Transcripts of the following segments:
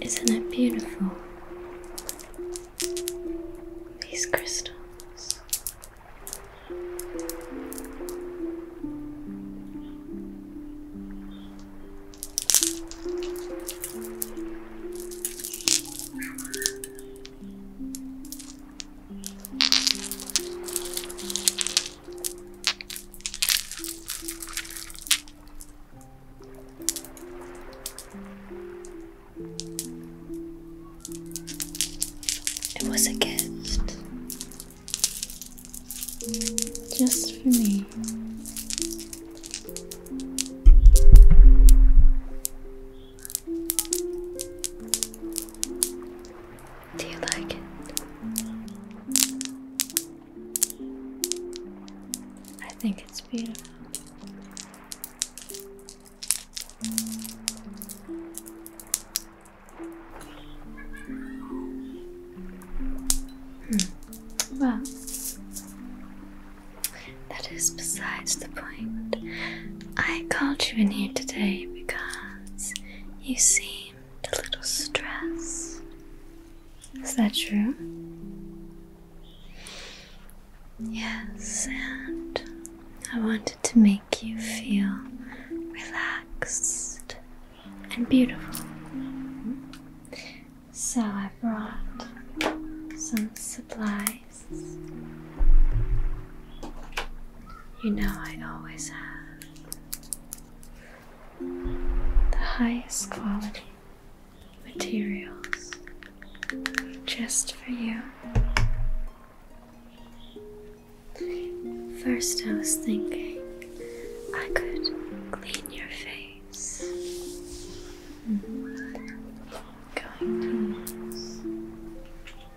Isn't it beautiful? These crystals. It was a gift just for me. Do you like it? I think it's beautiful. Hmm. Well, that is besides the point. I called you in here today because you seem a little stress. Is that true? Yes, and I wanted to make you feel relaxed and beautiful. So I brought some supplies. You know, I always have the highest quality materials just for you. First, I was thinking I could clean your face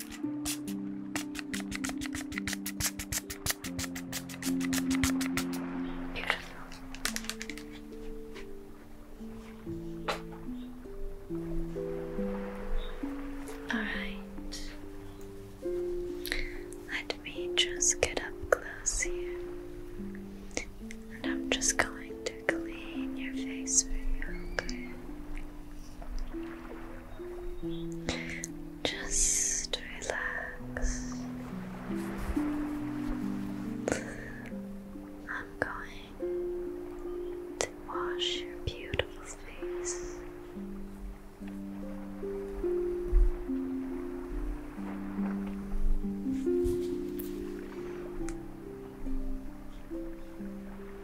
Beautiful. All right. Let me just get up close here. And I'm just going to clean your face for you, just relax. I'm going to wash your beautiful face.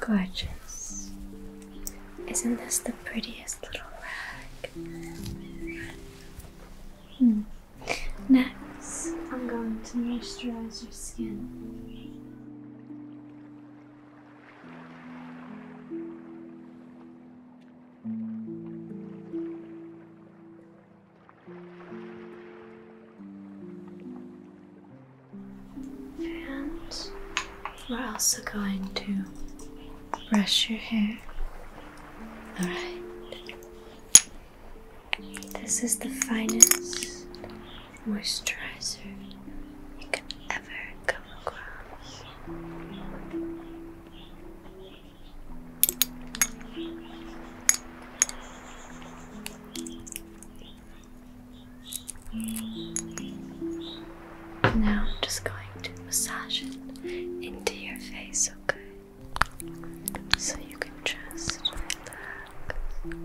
Gorgeous. Isn't this the prettiest little rag? Hmm. Next, I'm going to moisturize your skin. And we're also going to brush your hair. Alright. This is the finest moisturizer you can ever come across. Now I'm just going to massage it into your face, okay? So you can just relax.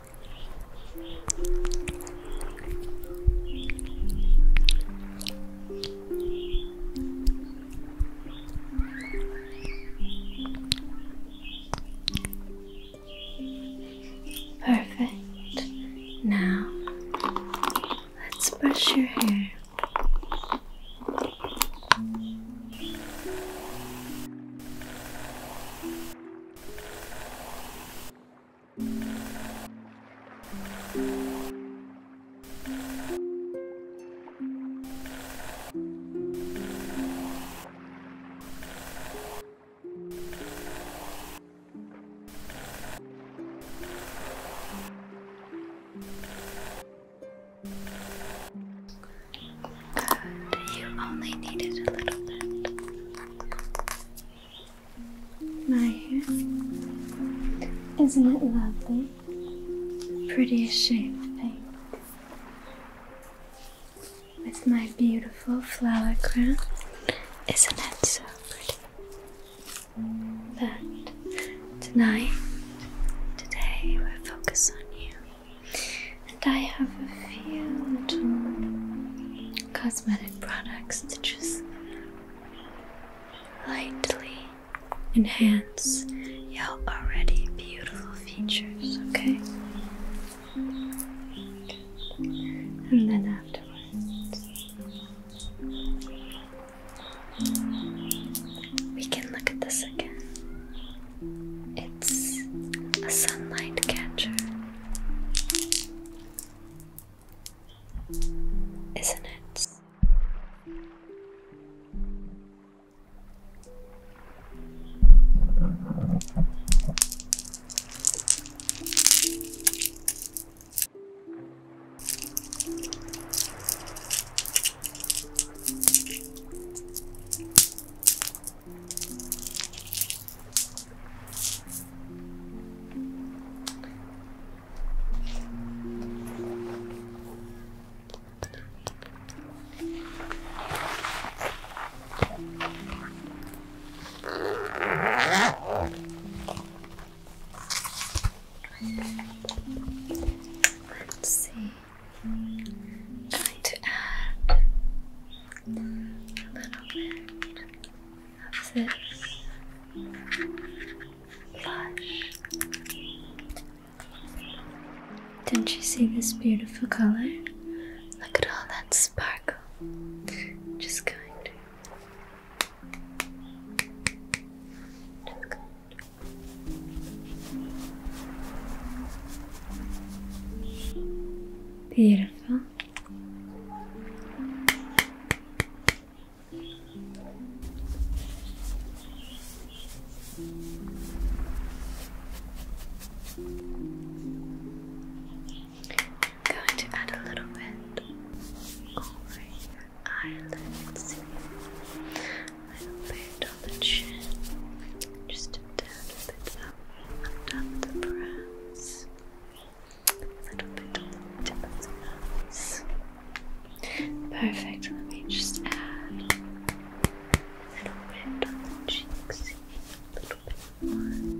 Perfect. Now let's brush your hair. Good. You only needed a little bit. My hair. Isn't it lovely? Prettiest shade of pink. With my beautiful flower crown. Isn't it so pretty? But tonight, today, we'll focus on you I have a few little cosmetic products to just lightly enhance your already beautiful features, okay? And then afterwards, we can look at this again. It's a sunlight catcher. Isn't it? Let's see. I'm going to add a little bit not you see this beautiful color? Look at all that sparkle. Just going to. Just Beautiful. I'm going to add a little bit over your eyelids, a little bit on the chin, just a tad bit a little bit on the nose. Perfect, let me just add a little bit on the cheeks, a little bit more.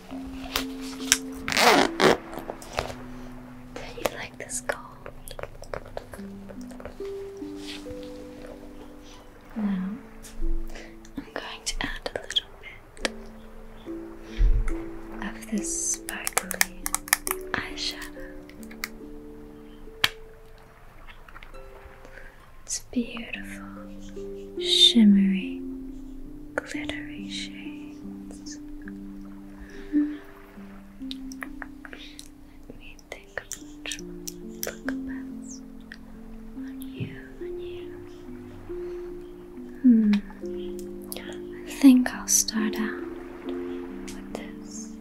Do you like this gold? Now, I'm going to add a little bit of this sparkly eyeshadow. It's beautiful, shimmery, glittery shade. Let me take a control look on you, on you. Hmm. I think I'll start out with this.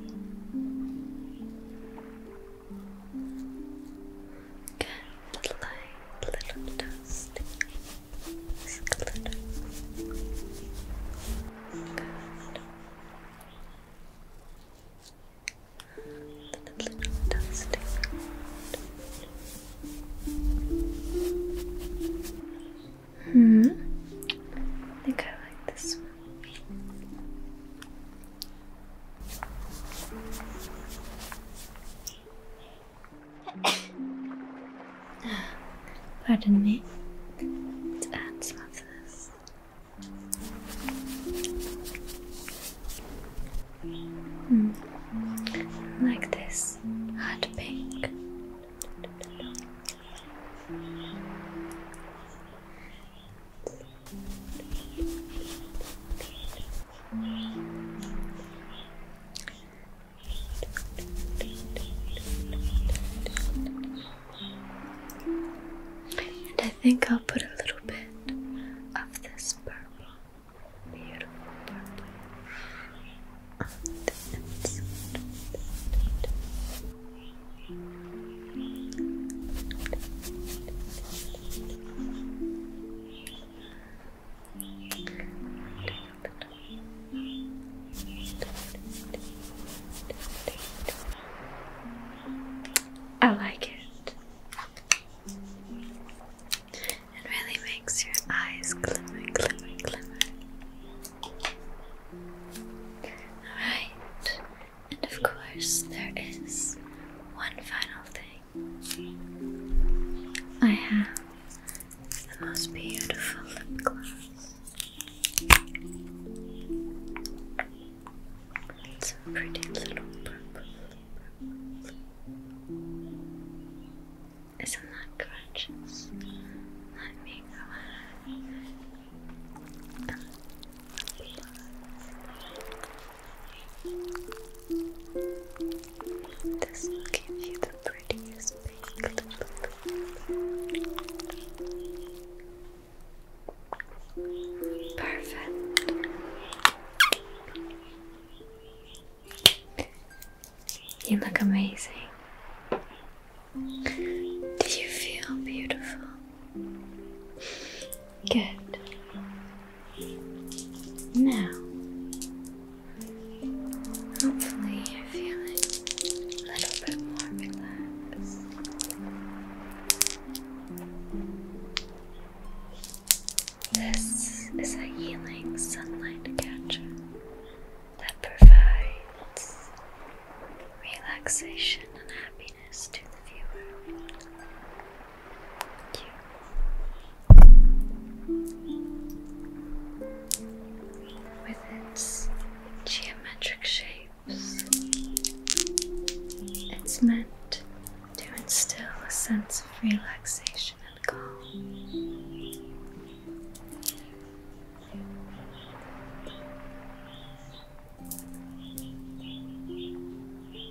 Good light, little dust glitter. Little dusting. Hmm. I think I like this one. Pardon me. To add some of this. Mm. Like this, hot pink. And I think I'll put a little bit of this purple, beautiful purple on the inside. I like it. It really makes your eyes glimmer, glimmer, glimmer. Alright, and of course, there is one final thing. I have the most beautiful lip gloss. It's a pretty little purple. Isn't that gorgeous? Let me go ahead. This will give you the prettiest pink look. Perfect. You look amazing. Do you feel beautiful? Good. Now, hopefully, you're feeling a little bit more relaxed. This is a healing sunlight catcher that provides relaxation and happiness to the viewer. With its geometric shapes, it's meant to instill a sense of relaxation and calm.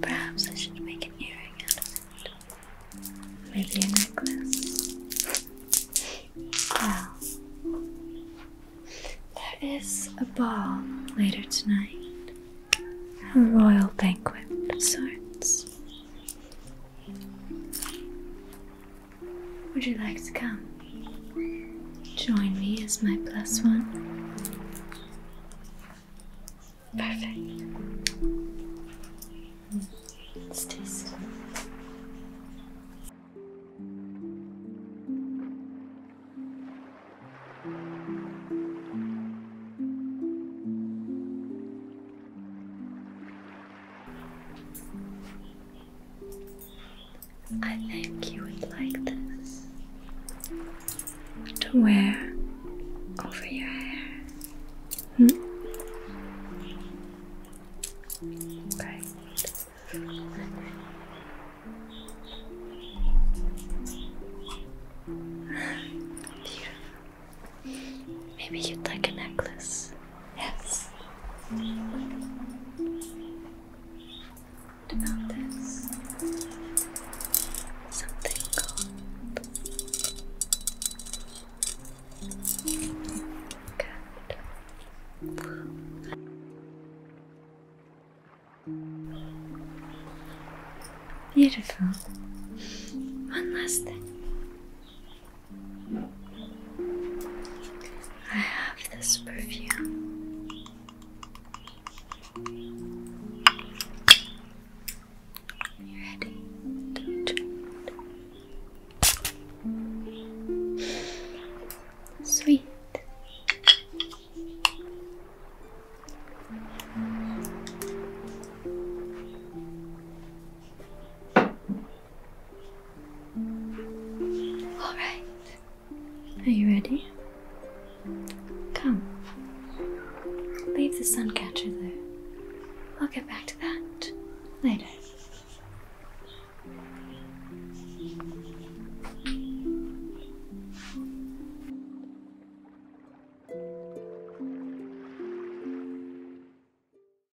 Perhaps I should make an earring out of it. Maybe a necklace. Well, there is a ball later tonight. A royal banquet of sorts. Would you like to come? Join me as my plus one. Perfect. Let's I think you would like this to wear over your hair. Hmm? Right. Beautiful. Maybe you'd like a necklace. Yes. about this? Something called. Good. Beautiful. One last thing. I have this perfume. You ready Sweet. All right. Are you ready? Come. Leave the sun catcher there. I'll get back to that later.